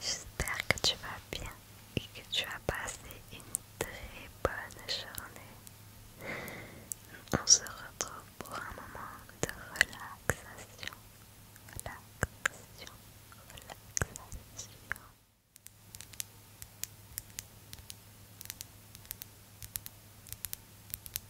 J'espère que tu vas bien et que tu as passé une très bonne journée. On se retrouve pour un moment de relaxation. Relaxation, relaxation.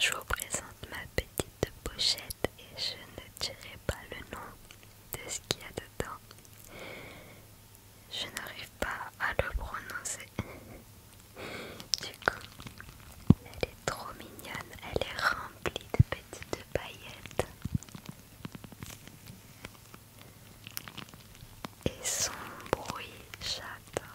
Je vous présente ma petite de pochette et je ne dirai pas le nom de ce qu'il y a dedans. Je n'arrive pas à le prononcer. Du coup, elle est trop mignonne, elle est remplie de petites paillettes. Et son bruit, j'adore.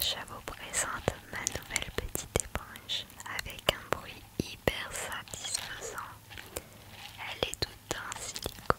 Je vous présente ma nouvelle petite éponge avec un bruit hyper satisfaisant. Elle est toute en silicone.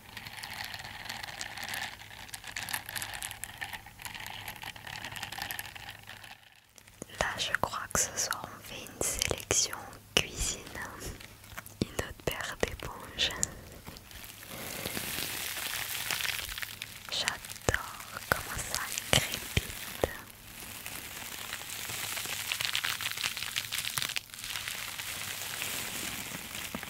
Là, je crois que ce soir on fait une sélection cuisine, une autre paire d'éponges. J'adore comment ça crépite.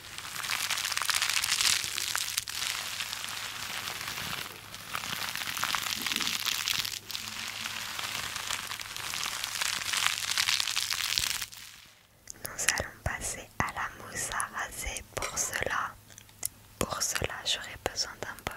Nous allons passer à la mousse à raser pour cela. Pour cela, j'aurai besoin d'un bol.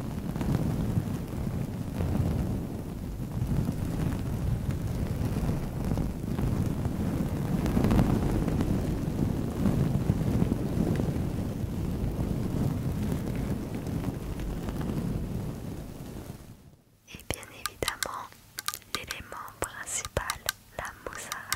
Et bien évidemment, l'élément principal, la mousse à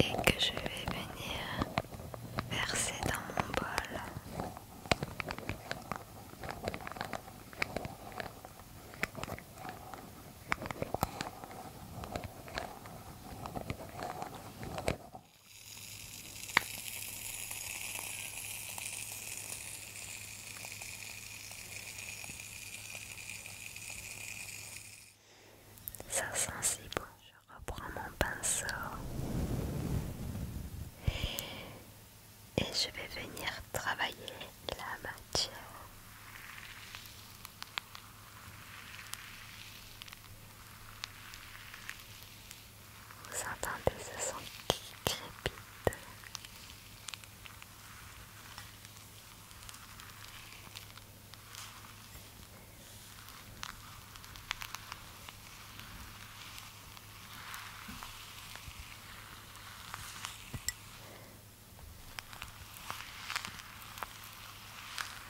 et que je vais venir verser dans mon bol. Ça sent si bon. Je reprends mon pinceau. Et je vais venir travailler la matière. Vous entendez ce son qui crépite.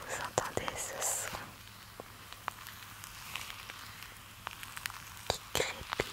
Vous entendez ce son qui crépite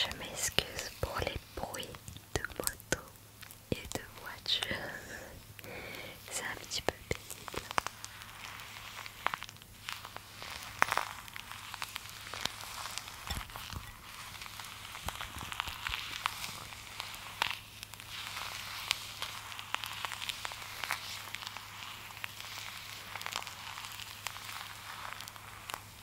Je m'excuse pour les bruit de moto et de voiture. C'est un petit peu pénible.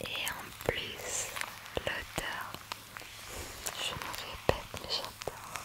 Et en plus, l'odeur, je me répète, mais j'adore.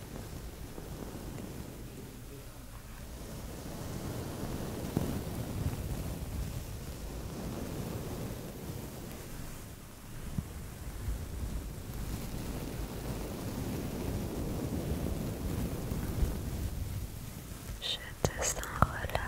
Je te sens relax.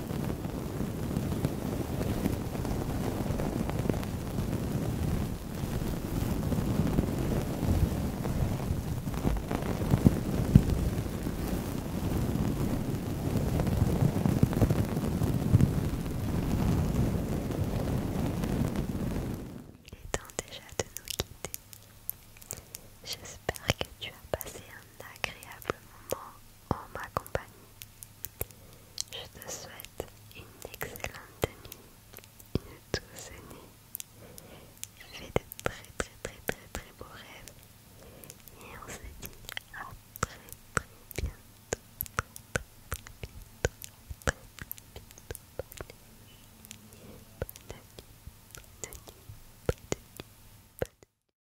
Il est temps déjà de nous quitter. J'espère que tu as passé un agréable moment en ma compagnie. Je te souhaite une excellente nuit, une douce nuit. Fais de très très très très très beaux rêves. Et on se dit à très très bientôt. Très, très,